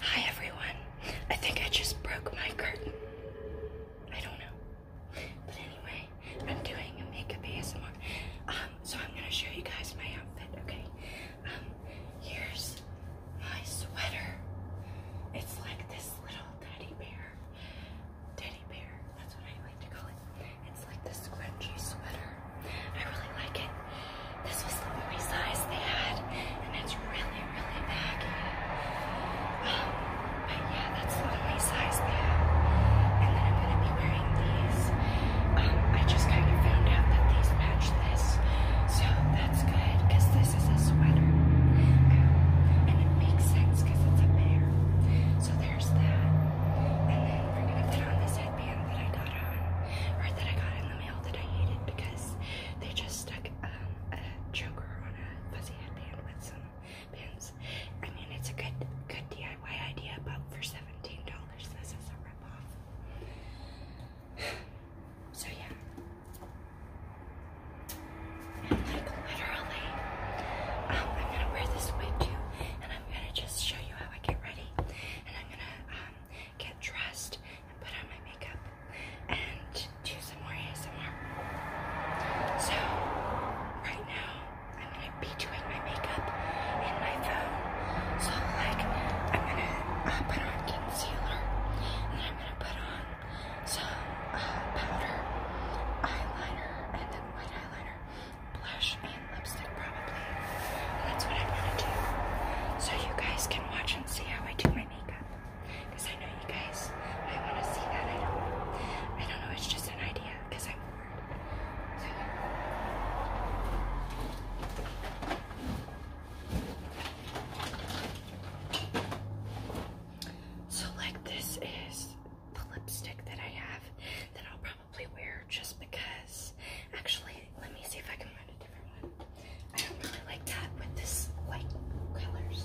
Hi everyone. I think I just broke my curtain. I don't know. But anyway, I'm doing a makeup ASMR. Um, so I'm gonna show you guys my outfit, okay? Um, here's my sweater. It's like this little teddy bear teddy bear. That's what I like to call it. It's like this scrunchy sweater. I really like it. This was the only size they had, and it's really, really baggy. Um, but yeah, that's the only size they had. And then I'm gonna be wearing these. Um, I just kind of found out that these match this, so that's good because this is a sweater, um, and it makes sense because it's a bear. So there's that. And then we're gonna put on this headband that I got on, or that I got in the mail that I hated because they just stuck um, a choker on a fuzzy headband with some pins. I mean, it's a good, good DIY idea, but for seventeen dollars, this is a ripoff. So yeah literally. Um, I'm gonna wear this wig too, and I'm gonna just show you how I get ready. And I'm gonna um, get dressed and put on my makeup and do some more ASMR. So right now I'm gonna be doing my makeup in my phone. So like I'm gonna uh, put on concealer and then I'm gonna put on some uh, powder, eyeliner, and then white eyeliner blush and lipstick probably. That's what I want to do. So you guys can watch and see how I do my makeup. Because I know you guys I want to see that. I don't know. it's just an idea because I'm bored. so like this is the lipstick that I have that I'll probably wear just because. Actually, let me see if I can find a different one. I don't really like that with this white colors.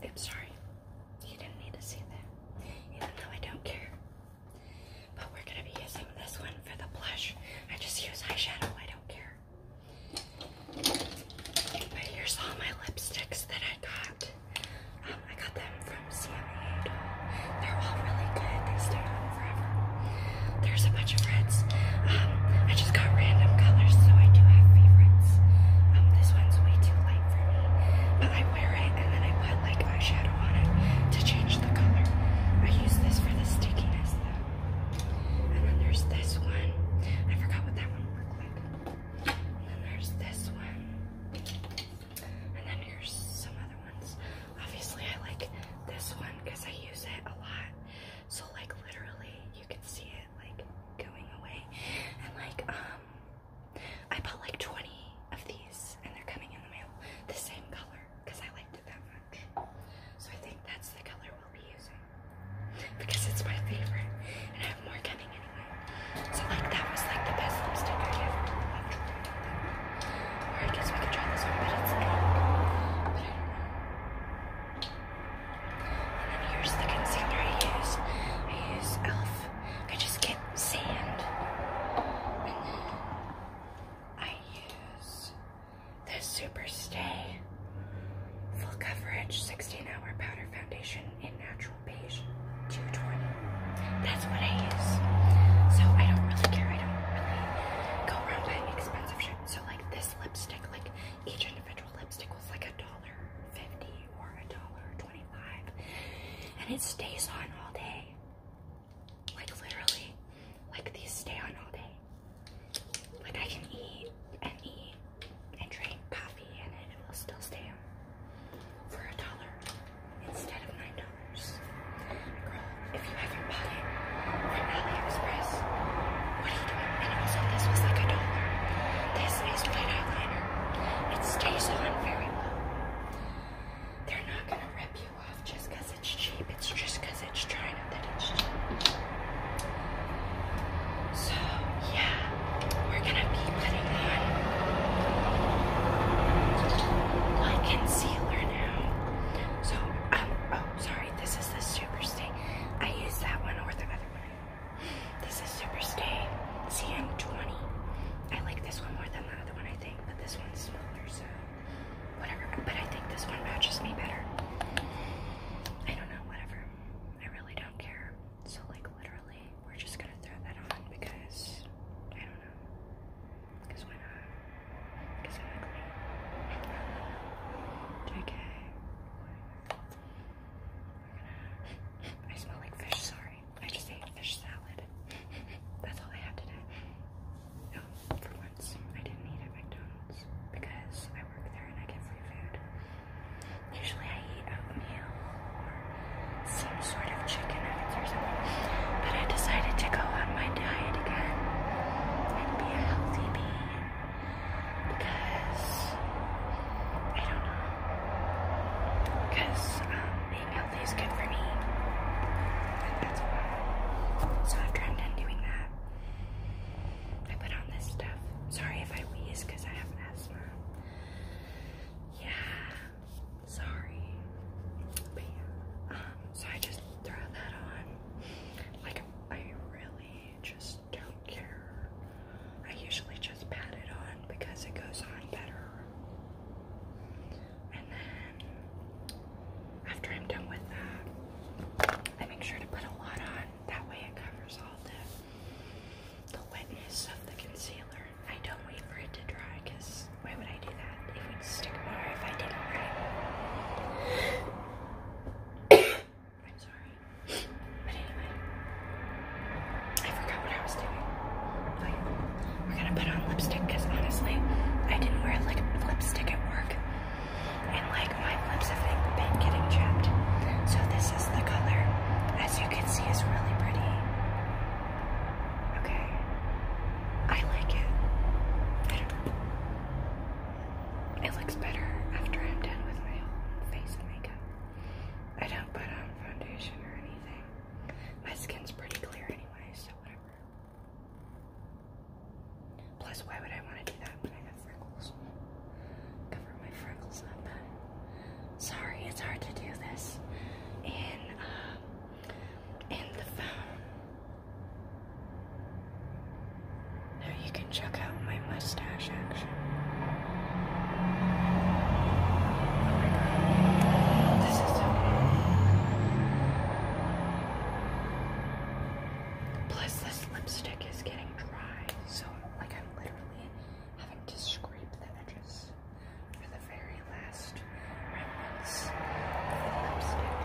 I'm sorry. You didn't need to see that. Even though I don't care. But we're going to be using this one for the blush. I just use eyeshadow, I don't care. But here's all my lipsticks that I got. Um, I got them from CMA. They're all really good. They stay on forever. There's a bunch of reds. Um, I just got random colors, so I do have favorites. Um, this one's way too light for me, but I wear it, and then I put like eyeshadow on it to change the color. I use this for the stickiness though. And then there's this one. I forgot what that one looked like. And then there's this one. And then there's some other ones. Obviously I like this one because I use it a lot. So like literally you can see it like going away. And like um I bought like 20 of these and they're coming in the mail the same color because I liked it that much. So I think that's the color we'll be using because it's my favorite and I have more coming anyway. So like that was like the best lipstick I ever loved. Or I guess we can try this one, but it's pink. But I And then here's the concealer I used. I use e.l.f. I just get sand. And I use the Super Stay Full Coverage 16 Hour Powder Foundation in Natural Beige 220. That's what I use. So I don't really care. I don't really go around buying expensive shit. So like this lipstick, like each individual lipstick was like a dollar fifty or a dollar twenty-five. And it stays on all day. Like literally, like these stay on all day. Like I can eat and eat and drink coffee and it will still stay on for a dollar instead of nine dollars. Girl, if you haven't bought it from AliExpress, what are you doing? And also this was like a dollar. This is white eyeliner. It stays on very well. They're not gonna rip you off just because it's cheap. It's just because it's China that it's cheap. So yeah, we're gonna be putting on my concealer now. So um oh sorry, this is the Superstay. I used that one or the other one. This is Superstay CM20. I like this one more than the other one. I but this one's smaller, so whatever. But I think this one matches me better. I don't know, whatever. I really don't care. So, like, literally, we're just gonna throw that on because I don't know. Because why not? Because I'm ugly. JK. I smell like fish, sorry. I just ate fish salad. That's all I had today. Oh, for once, I didn't eat McDonald's because I work there and I get free food. Usually I eat oatmeal or some sort of chicken nuggets or something. But I decided to go on my diet again and be a healthy bee because I don't know. Because, um, being healthy is good for me. So I've tried doing that. I put on this stuff. Sorry if I wheeze because I have asthma. Yeah. Sorry. But yeah. Um, so I just throw that on. Like I really just don't care. I usually just pat it on because it goes on better after I'm done with that, I make sure to put a lot on. That way it covers all the, the wetness of the concealer. I don't wait for it to dry because why would I do that? It would stick more if I did it right. I'm sorry. I forgot what I was doing we're gonna put on lipstick because honestly, I didn't wear lipstick at work, and like my lips have been getting chapped. So this is the color. As you can see, is really pretty. Okay, I like it. don't It looks better after I'm done with my face makeup. I don't put on foundation or anything. My skin's pretty clear Plus, why would I want to do that when I got freckles? Cover my freckles up. Sorry, it's hard to do this in um, in the phone. Now you can check out my mustache action. This Plus, this lipstick is getting dry, so like I'm literally having to scrape the edges for the very last remnants of the lipstick.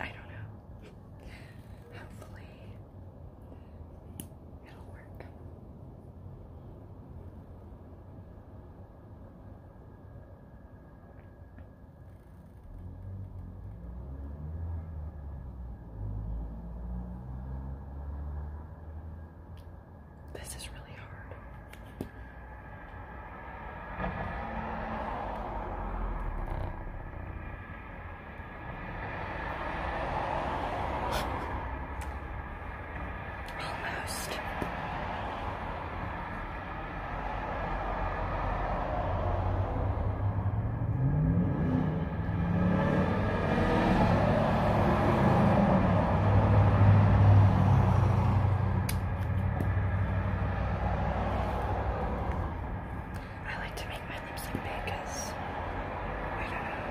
I don't know. Hopefully, it'll work. This is really hard. Almost. I like to make my lips look big because I don't know.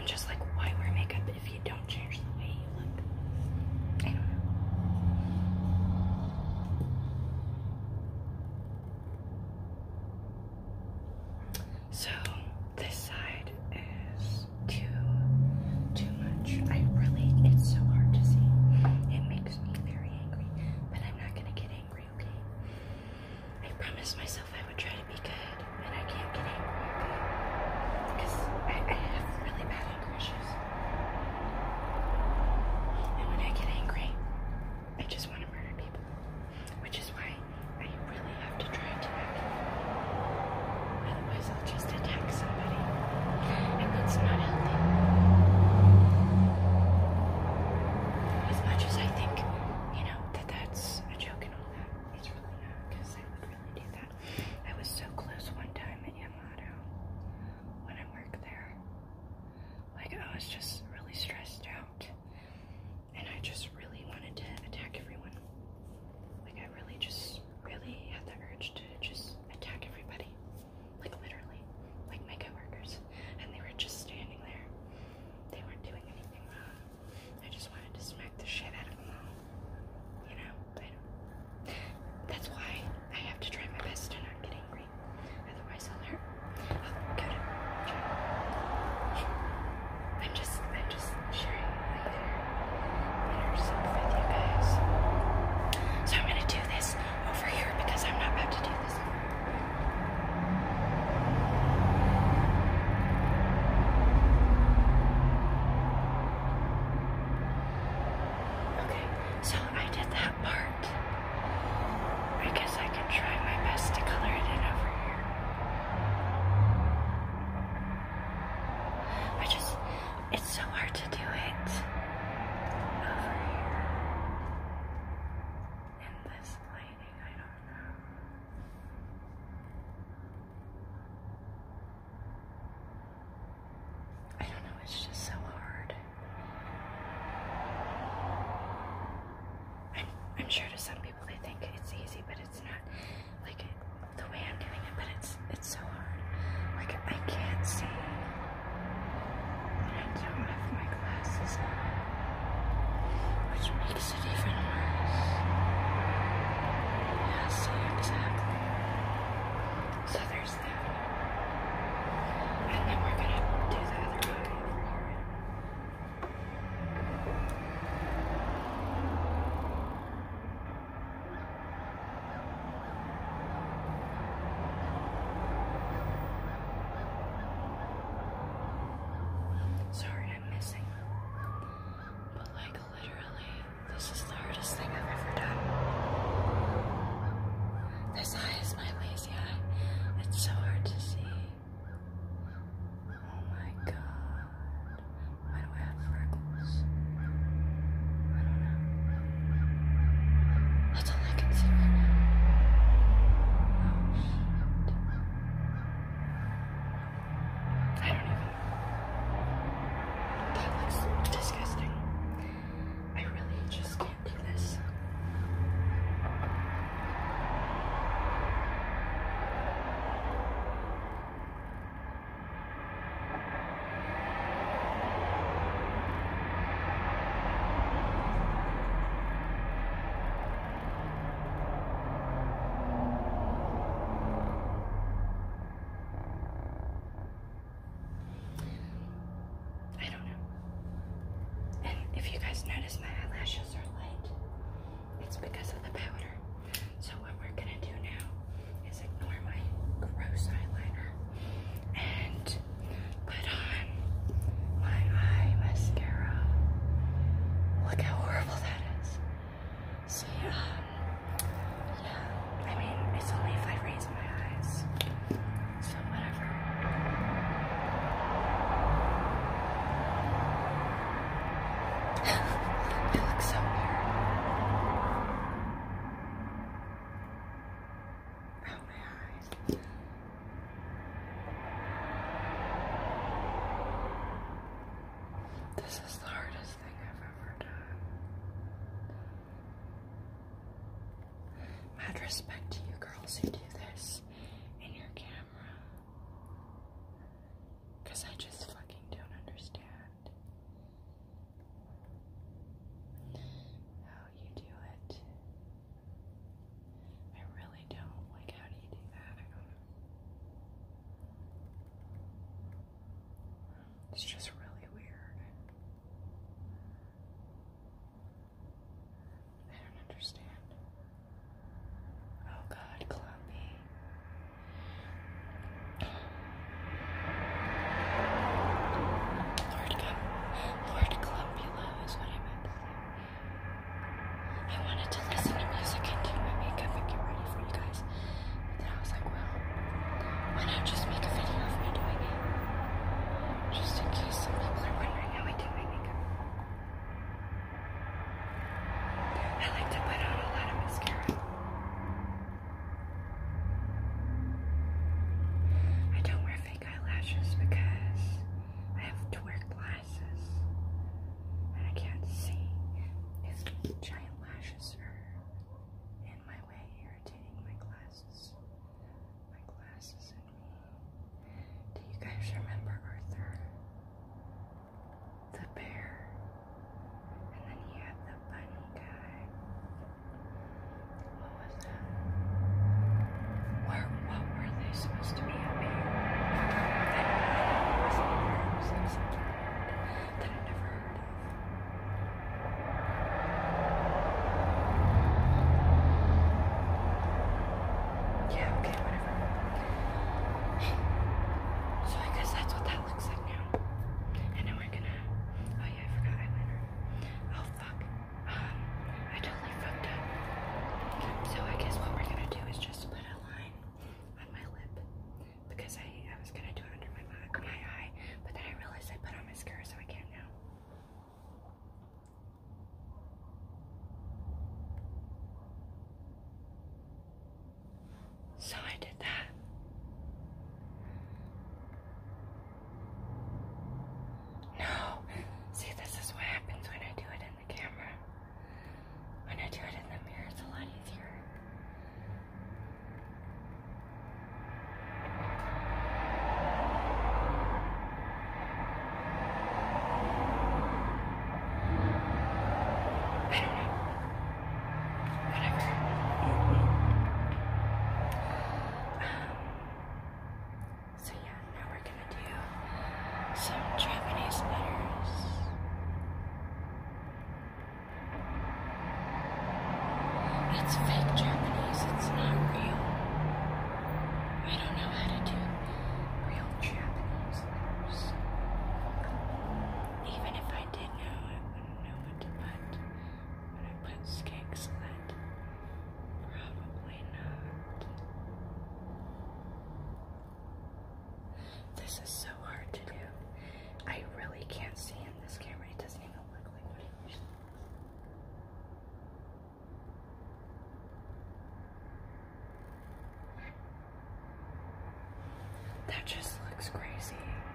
I'm just like, why wear makeup if you don't change the way you look? I don't know. So this side is two, two I really, it's so hard to see. It makes me very angry, but I'm not gonna get angry, okay? I promised myself I would try to be good, and I can't get angry, Because I, have really bad anger issues. And when I get angry, I just want to murder people, which is why I really have to try to not get otherwise i just attack somebody. And that's not healthy. As much as I think, you know, that that's a joke that, it's really not, because I would really do that. I was so close one time at Yamato when I worked there. Like, I was just really stressed out. And I just really wanted to attack everyone. Like, I really just really had the urge to just attack everybody. Like literally. Like my coworkers. And they were just standing there. They weren't doing anything wrong. I just wanted to smack the shit out of them all. You know? that's why I have to try my best to not get angry. Otherwise I'll hurt. Oh, I'll I'm just I'm just sharing so I'm gonna do this over here because I'm not about to do this. Okay, so I did that part. I I can try my best to color it in over here. I just it's so hard to do it I don't know. it's just so hard. I'm, sure to some people they think it's easy, but it's not like the way I'm doing it, but it's it's so hard. Like I can't see. I don't have my glasses which makes it even worse. Yeah, exactly. So there's that. And then we're gonna do the other eye over here. Sorry, I'm missing. But, like, literally, this is the hardest thing I've ever done. This eye is my lazy eye. It's so hard to see. Oh my god. Why do I have that's all I can see right now. Oh, I don't even. That looks disgusting. I really just can't do this. I don't know. And if you guys notice, my eyelashes are light. It's because of the powder. So what we're gonna do now is ignore my gross eyeliner and put on my eye mascara. Look how horrible that is. See, so, um, yeah, I mean, it's only if I raise my eyes, so whatever. I look so weird. Oh, this is the hardest thing I've ever done. Mad respect to you girls who do this in your camera. I just fucking don't understand. How you do it. I really don't. Like, how do you do that? I don't know. It's just really weird. I don't understand. Oh God, Clumpy. Lord, Com Lord Columbula is what I meant to say. I wanted to listen to music and do my makeup and get ready for you guys. But then I was like, well, why not just make a video of me doing it? Just in case some people are wondering how I do my makeup. I like to put on a lot of mascara. I don't wear fake eyelashes because I have to wear glasses and I can't see if giant lashes are in my way, irritating my glasses. My glasses and me. Do you guys remember Arthur? The bear. And then you had the bunny guy. What was that? Where, what were they supposed to be up here? That was like never heard of. Yeah, okay, whatever. So I guess that's what that looks like now. And now we're gonna. Oh yeah, I forgot eyeliner. i I totally fucked up. So I guess what we're gonna do is just put a line on my lip because I, was gonna do it under my eye, but then I realized I put on mascara so I can't now. So I did that. No. See, this is what happens when I do it in the camera. When I do it in the mirror, it's a lot easier. I don't know. Whatever. Mm-hmm. Um, so yeah, now we're gonna do some Japanese letters. It's fake Japanese, it's not real. I don't know how to do real Japanese letters. Even if I did know, I wouldn't know what to put. I put skegsled. Probably not. This is so hard to do. I really can't see in this camera. It doesn't even look like what it usually looks. That just looks crazy.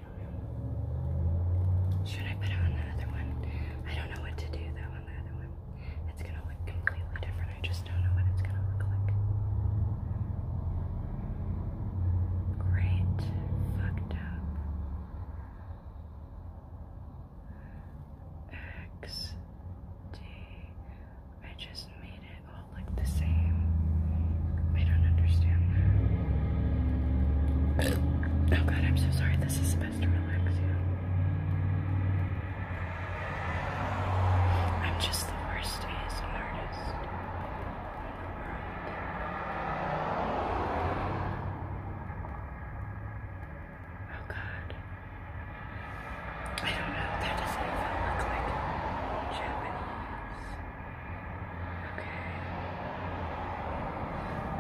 I Should I put on the other one? I don't know what to do though on the other one. It's gonna look completely different. I just don't know what it's gonna look like. Great. Fucked up. X D. I just made it all look the same. I don't understand Oh god, I'm so sorry. This is the supposed to relax you. I'm just the worst ASM artist in the world. Oh god. I don't know. That doesn't even look like Japanese.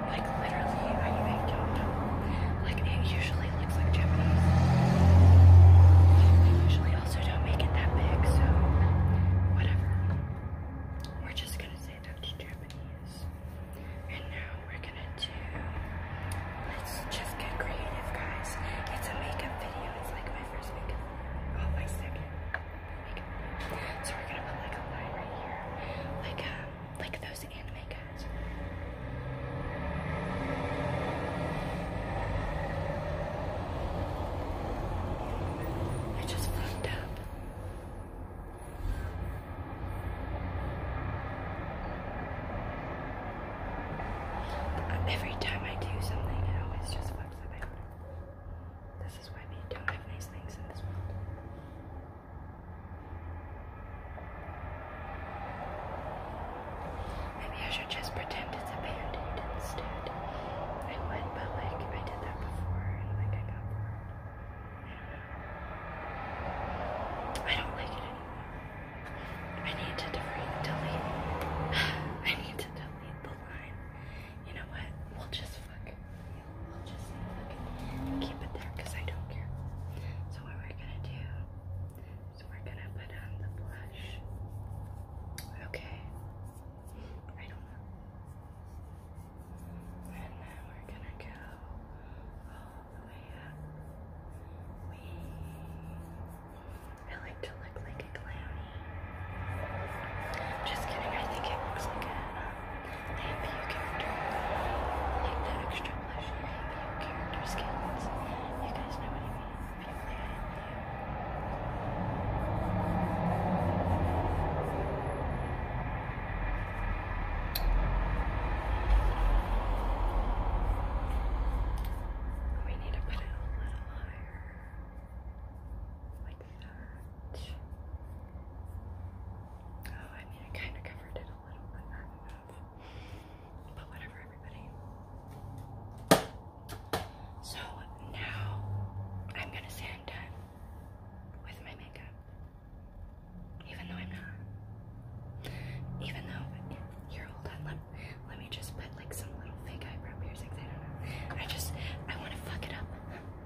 Like literally, I, I don't Like it usually looks like Japanese. usually also don't make it that big, so whatever. We're just gonna say that to Japanese. And now we're gonna do let's just get creative guys. It's a makeup video, it's like my first makeup. Oh my second. So we're gonna put like a line right here, like um, like those anime guys. It just fucked up. Every time I do something, it always just fucks up. This is why we don't have nice things in this world. Maybe I should just pretend it's a band instead. I would, but like I did that before and like I got bored. I don't like it anymore. I need to delete delete I need to delete the line. You know what? We'll just I'll just keep it there because I don't care. So what we're gonna do is we're gonna put on the blush. Okay. I don't know. And then we're gonna go all the way up. We I like to look like a clown. Just kidding, I think it looks like a um, Name your character. Like the extra blush. Name your character skills. You guys know what I mean. Family, I am you. We need to put it a little higher. Like Oh, so now I'm gonna say I'm done with my makeup. Even though I'm not. Even though, here, hold on. Let, let me just put like some little fake eyebrow piercings. I don't know. I just, I want to fuck it up.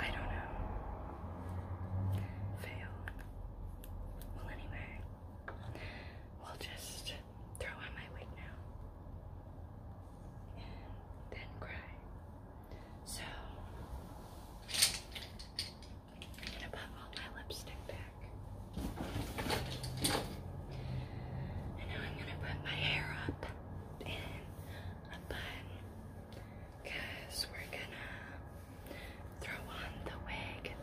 I don't know. Fail. Well, anyway, we'll just throw on my wig now and then cry. So, I'm gonna put all my lipstick back. And now I'm gonna put my hair up in a bun we're gonna throw on the wig.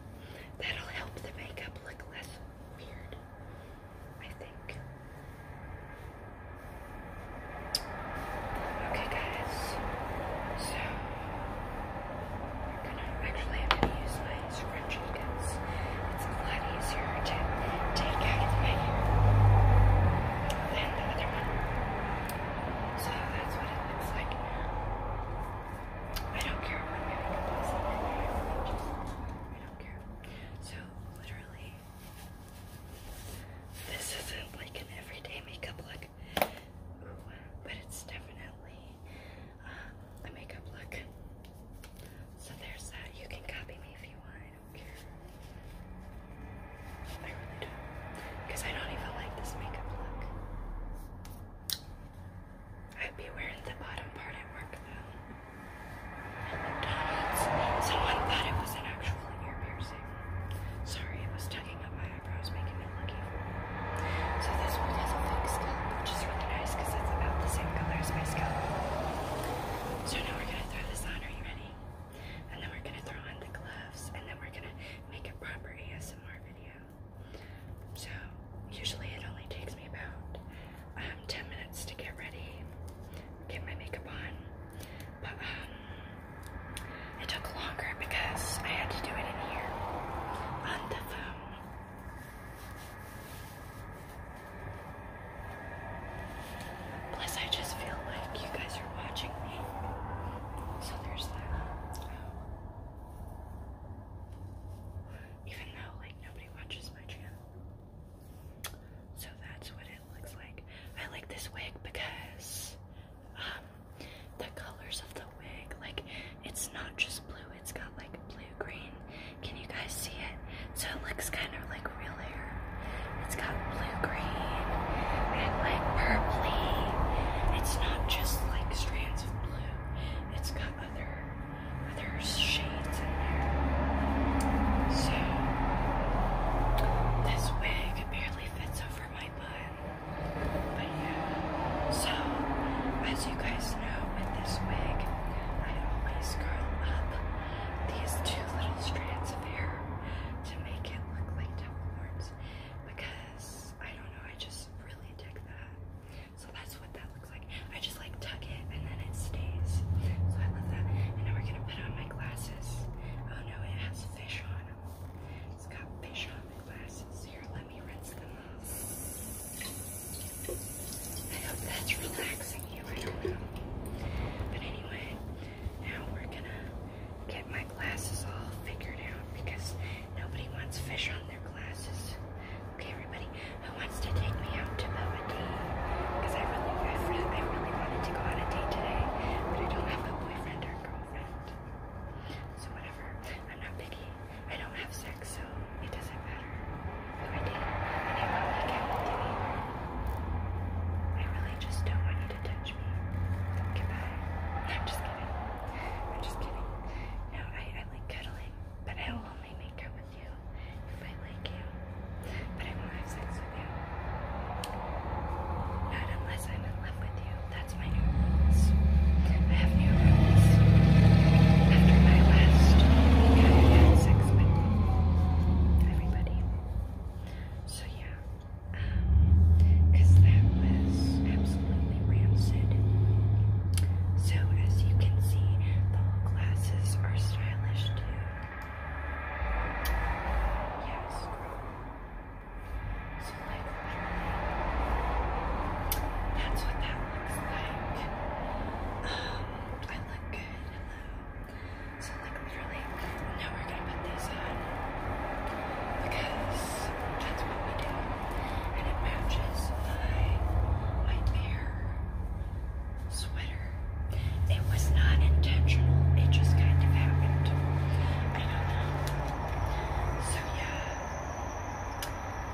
That'll help the makeup look less weird, I think. Okay, guys, so we're gonna actually I'm gonna use my scrunchie because it's a lot easier to take out of the my than the other one. So that's what it looks like I don't care what my makeup is. I don't care. So literally, this isn't like an everyday makeup look. but it's definitely um, a makeup look. So there's that. You can copy me if you want don't care. I really don't. Because I don't even like this makeup look. I'd be wearing the bottom part at work though. McDonald's. Someone thought it was an actual ear piercing. Sorry, it was tugging up my eyebrows, making it look So this one has a fake scalp, which is really nice because it's about the same color as my scalp. So now we're gonna throw this on are you ready? And then we're gonna throw on the gloves, and then we're gonna make a proper ASMR video. So usually it only takes me about um, 10 minutes to get ready, get my makeup on, but um, it took longer because I had to do it in here on the phone. Plus, I just feel like you guys are watching me. So there's that. Even though, like, nobody watches my channel. So that's what it looks like. I like this wig because um, the colors of the wig, like, it's not just blue, it's got like blue, green, can you guys see it? So it looks kind of like real hair. It's got blue green and like purply. It's not just like strands of blue. It's got other other shades in there. So this wig barely fits over my butt. But yeah. So as you guys know with this wig, I always curl up these two little strands of hair to make it look like tuck horns because I don't know, I just really dig that. So that's what that looks like. I just like tuck it and then it stays. So I love that. And now we're gonna put on my glasses. Oh no, it has fish on them. It's got fish on the glasses. Here, let me rinse them off. I hope that's relaxing. But anyway, now we're gonna get my glasses all figured out because nobody wants fish on their glasses. Okay, everybody, who wants to take me out to Baba Because I really, I really, I really wanted to go on a date today, but I don't have a boyfriend or girlfriend. So whatever, I'm not picky. I don't have sex, so it doesn't matter. I really just don't want you to touch me. Goodbye. I'm just kidding. I'm just kidding. No, I, I like cuddling, but I will only make out with you if I like you. But I won't have sex with you. Not unless I'm in love with you. That's my new rules. I have new rules. After my last sex with. Everybody. So yeah, um, cause that was absolutely rancid. So as you can see, the glasses are stylish too. Yes. So like that's what that looks like. Um, I look good. So that was Now we're gonna put these on because that's what we do. And it matches my nightmare sweater. It was not intentional, it just kind of happened. So yeah.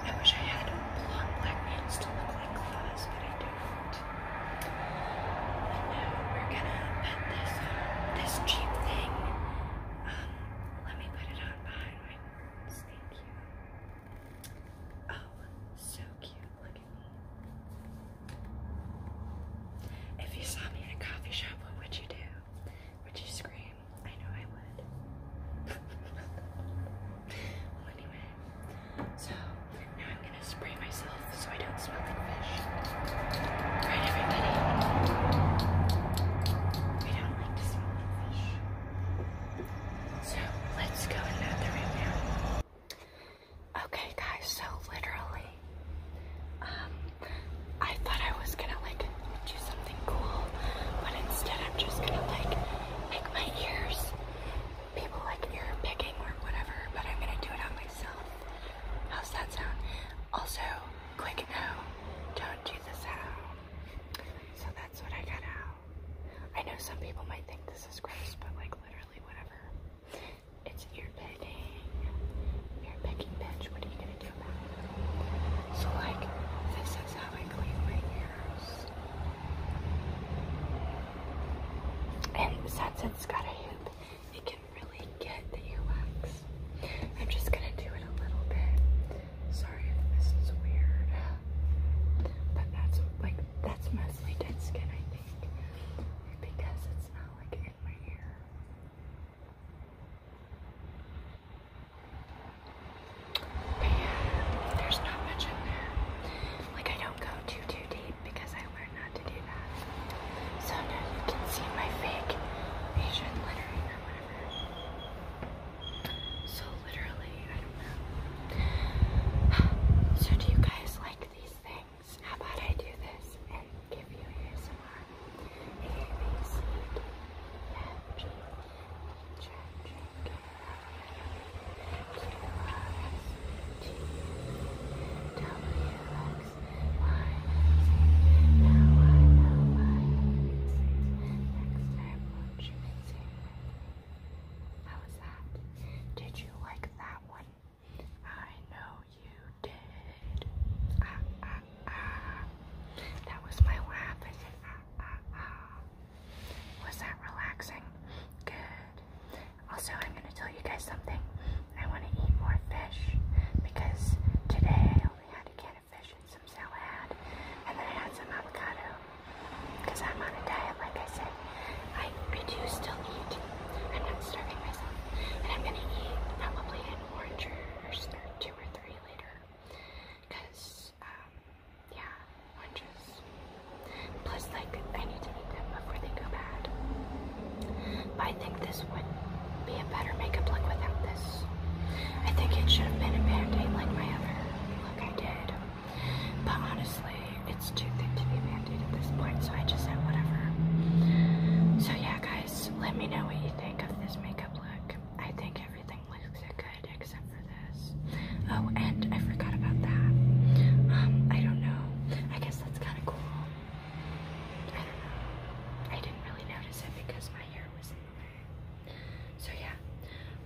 I wish I had black nails to look like claws, but I do different. now we're gonna put this this cheap thing. Um, let me put it on behind my words. Thank you. Oh, so cute. Look at me. If you saw me in a coffee shop, what would you do? Would you scream? I know I would. well, anyway, so now I'm gonna spray myself so I don't smell like fish. Right, everybody? We don't like to smell like fish. So let's go in the other Okay, guys. So literally, um, I thought I was gonna like do something cool, but instead I'm just gonna like make my ears people like ear picking or whatever, but I'm gonna do it on myself. How's that sound? Also, quick no, don't do the sound. So that's what I got out. I know some people might think this is gross, but like literally whatever. It's ear picking. Ear picking bitch, what are you gonna do about it? So like this is how I clean my ears. And since it's got a hoop, it can really get the earwax. I'm just gonna do it a little bit. Sorry if this is weird, but that's like that's mostly dead skin, I think, because it's not like in my ear. But yeah, there's not much in there. Like I don't go too too deep because I so now you can see my fake Asian lettering or whatever. So literally, I don't know. So do you guys like these things? How about I do this and give you some? A, B, C, D, F, G, H, I, J, K, L, M, N, O, P, Q, R, S, how was that? Did you like that one? I know you did. Ah, ah, ah. That was my laugh. Ah, ah, ah. Was that relaxing? Good. Also, I'm going to tell you guys something. I want to eat more fish because today I only had a can of fish and some salad, and then I had some avocado because I'm on a diet, like I said. I, I do still eat. I'm not starving myself. And I'm going to eat probably an orange or two or three later because, um, yeah, oranges. Plus, like, I need to eat them before they go bad. I think this would be a better makeup look without this. I think it should have been a band like my other look I did. But honestly, it's too thick to be band-aid at this point, so I just said whatever. So yeah, guys, let me know what you think of this makeup look. I think everything looks good except for this. Oh, and I forgot about that. Um, I don't know. I guess that's kind of cool. I don't know. I didn't really notice it because my hair was in the way. So yeah,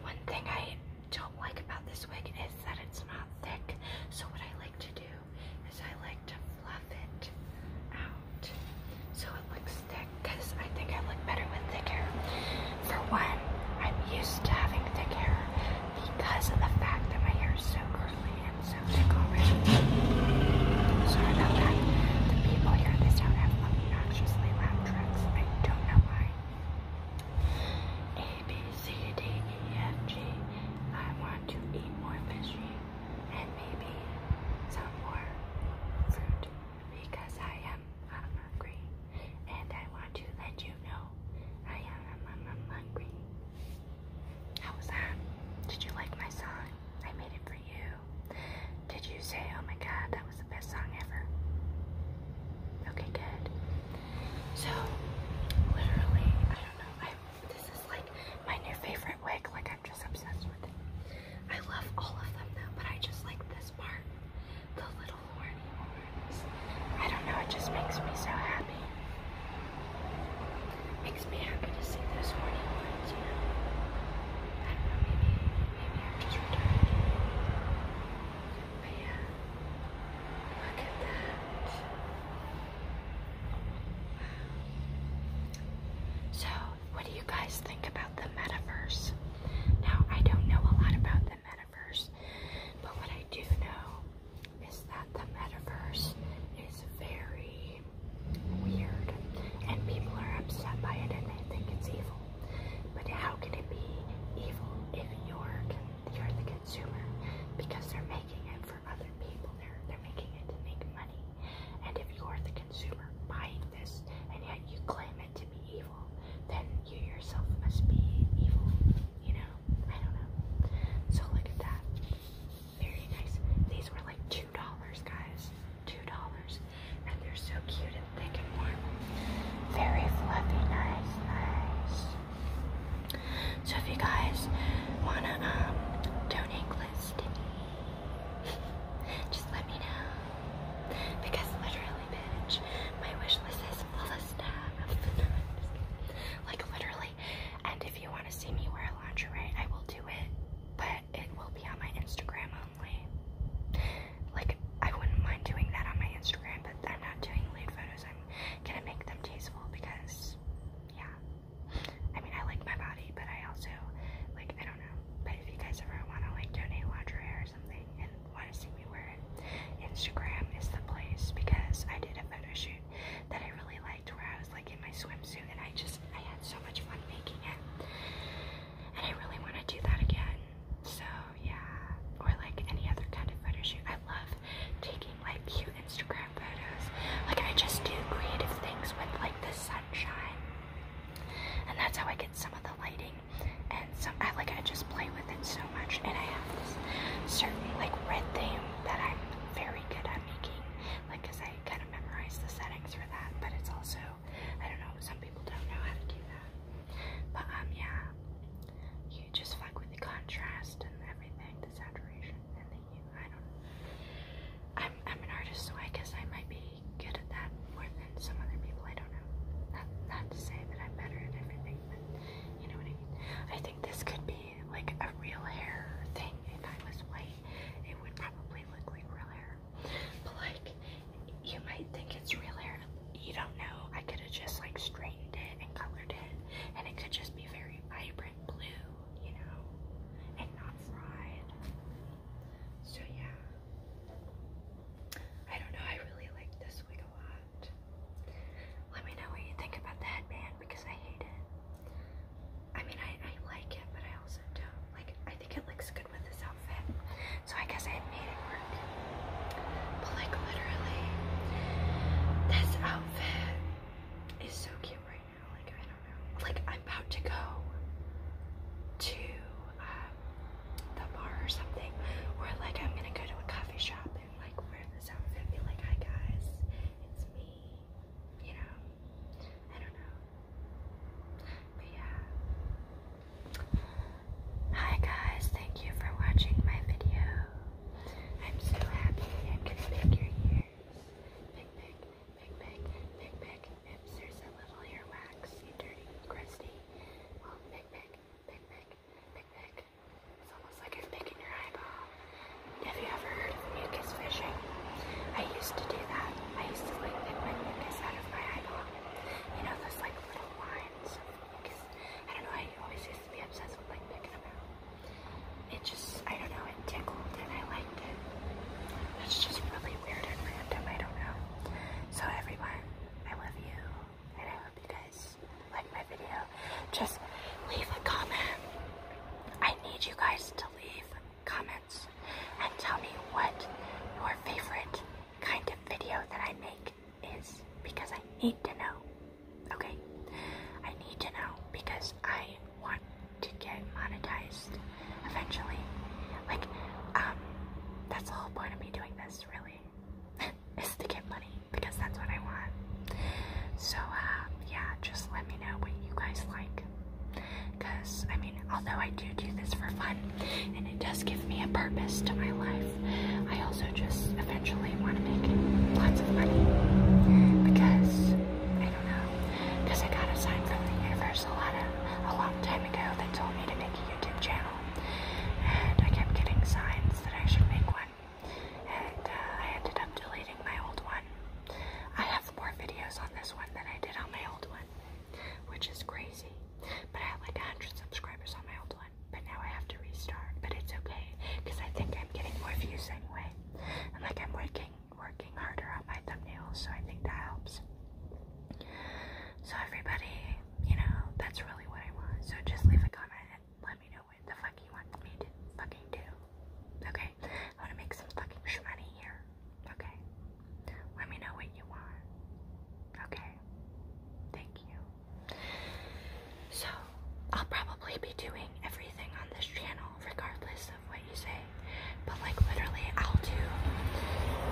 one thing I don't like about this wig is that it's not thick. So what I like to do is I like to fluff it out so it looks thick because I think I look better with thick hair. For one, I'm used to having thick hair because of the fact that my hair is so curly and so thick already. Sorry about that. The people here in this town have obnoxiously loud trucks. I don't know why. A, B, C, D, E, F, G. I want to eat more fishy and maybe some more fruit because I am hungry and I want to let you know I am hungry. How was that? Did you like my song? I made it for you. Did you say, oh my god, that was the best song ever? Okay, good. So, literally, I don't know. this is like my new favorite wig. Like, I'm just obsessed with it. I love all of them though, but I just like this part. The little horny horns. I don't know, it just makes me so happy. Makes me to see those morning ones, you I know, maybe, maybe just retarded. But look at that. So, what do you guys think about the metaverse? Now, I don't know a lot about the metaverse, but what I do know is that the metaverse is very weird and people are upset by it and they think it's evil. But how can it be evil if you're you're the consumer? Because they're making it for other people. They're they're making it to make money. And if you're the consumer buying this and yet you claim it to be evil, then you yourself must be evil. You know? I don't know. So look at that. Very nice. These were like $2, guys. $2. And they're so cute and thick and warm. Very fluffy. Nice, nice. So if you guys want to um, donate list, just let me know. Because literally, bitch, my wish list is full of stuff. like literally, and if you want to see me wear lingerie, I will do it, but it will be on my Instagram only. Like, I wouldn't mind doing that on my Instagram, but I'm not doing lewd photos. I'm gonna make them tasteful because, yeah. I mean, I like my body, but I also, like, I don't know. But if you guys ever want to, like, donate lingerie or something and want to see me wear it, Instagram is the place because I did a photo shoot that I really liked where I was like, in my swimsuit and I just I had so much fun making it and I really want to do that again so yeah or like any other kind of photo shoot I love taking like cute Instagram photos like I just do creative things with like the sunshine and that's how I get some of the lighting and some I like I just play with it so much and I have this certain like red theme that I'm very good at making like I kind of memorized the settings for that, but it's also, I don't know, some people don't know how to do that. But um, yeah, you just fuck with the contrast and everything, the saturation and the hue. I don't. I'm I'm an artist, so I guess I might be good at that more than some other people. I don't know. Not not to say that I'm better at everything, but you know what I mean. I think this could be like a real hair thing. If I was white, it would probably look like real hair. But like, you might think it's real hair. You don't know. I could have just like straightened it and colored it, and it could just be very vibrant blue, you know, and not fried. So yeah. I don't know, I really like this wig a lot. Let me know what you think about the headband because I hate it. I mean, I, I like it, but I also don't. Like, I think it looks good with this outfit. So I guess I made it work. But like, literally, this outfit is so cute right now. Like, I don't know. Like, I'm about to go to um, the bar or something. Or like, I'm gonna go to a coffee shop and like wear this outfit and be like, hi guys, it's me you know, I don't know. But yeah. Hi guys, thank you for watching my video. I'm so happy I'm gonna pick your ears. Pick, pick, pick, pick, pick, pick. Oops, there's a little earwax, you dirty, crusty. Well, pick, pick, pick, pick, pick, pick. It's almost like I'm picking your eyeball. Have you ever heard of mucus fishing? I used to do that. I used to like get my mucus out of my eyeball. You know those like little lines of mucus. I don't know. I always used to be obsessed with like picking them out. It just I don't know. It tickled and I liked it. It's just really weird and random. I don't know. So everyone, I love you, and I hope you guys like my video. Just leave a comment. I need you guys to leave comments and tell me what your favorite kind of video that I make is because I need to know. Okay? I need to know because I want to get monetized eventually. Like, um, that's the whole point of me doing this, really, is to get money because that's what I want. So, uh, yeah, just let me know what you guys like. Because, I mean, although I do do this for fun and it does give me a purpose to my life, I also just eventually want to make lots of money. Because, I don't know, because I got a sign from the universe a a long time ago that told me to make a YouTube channel. And I kept getting signs that I should make one. And uh, I ended up deleting my old one. I have more videos on this one than I did on my old one, which is crazy. But I had like 100 subscribers on my old one, but now I have to restart. But it's okay because I think I'm getting more views anyway, and like I'm working working harder on my thumbnails, so I think that helps. So everybody, you know, that's really what I want. So just leave a comment and let me know what the fuck you want me to fucking do. Okay? I want to make some fucking shmoney here, okay? Let me know what you want, okay? Thank you. So, I'll probably be doing everything on this channel, regardless of what you say. But, like, literally, I'll do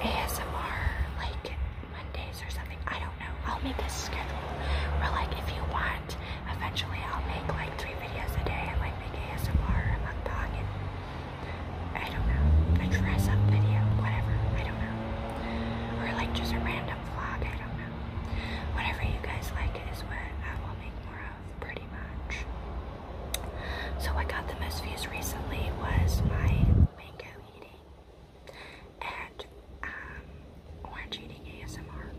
ASMR, like, Mondays or something. I don't know. I'll make a schedule where, like, if you want Eventually, I'll make like three videos a day and like make ASMR and mukbang I don't know, a dress up video, whatever. I don't know. Or like just a random vlog. I don't know. Whatever you guys like is what I will make more of, pretty much. So, what got the most views recently was my mango eating and um, orange eating ASMR.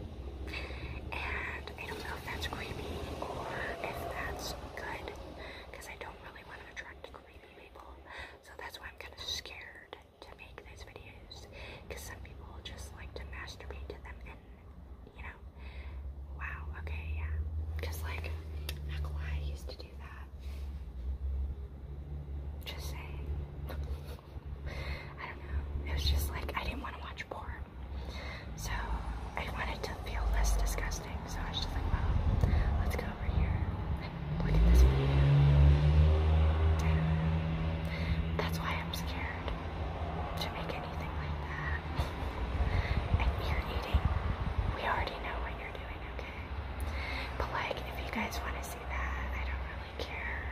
And I don't know if that's creepy or if that's good because I don't really want to attract creepy people. So that's why I'm kind of scared to make those videos because some people just like to masturbate to them and you know, wow, okay, yeah. Because, like, not used to do that. Just saying. I don't know. It was just like I didn't want to watch porn. So I wanted to feel less disgusting, so I was just like, well, let's go over here look at this video. that's why I'm scared to make anything like that. and you're eating. We already know what you're doing, okay? But like, if you guys want to see that, I don't really care.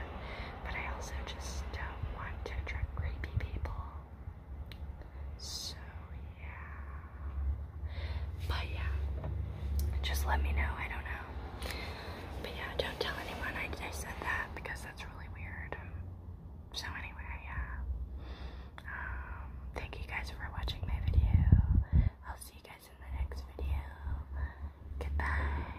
But I also just don't want to attract creepy people. So yeah. But yeah. Just let me know. I don't know. But yeah, don't tell anyone I, said that because that's really weird. So anyway, yeah. Um, thank you guys for watching my video. I'll see you guys in the next video. Goodbye.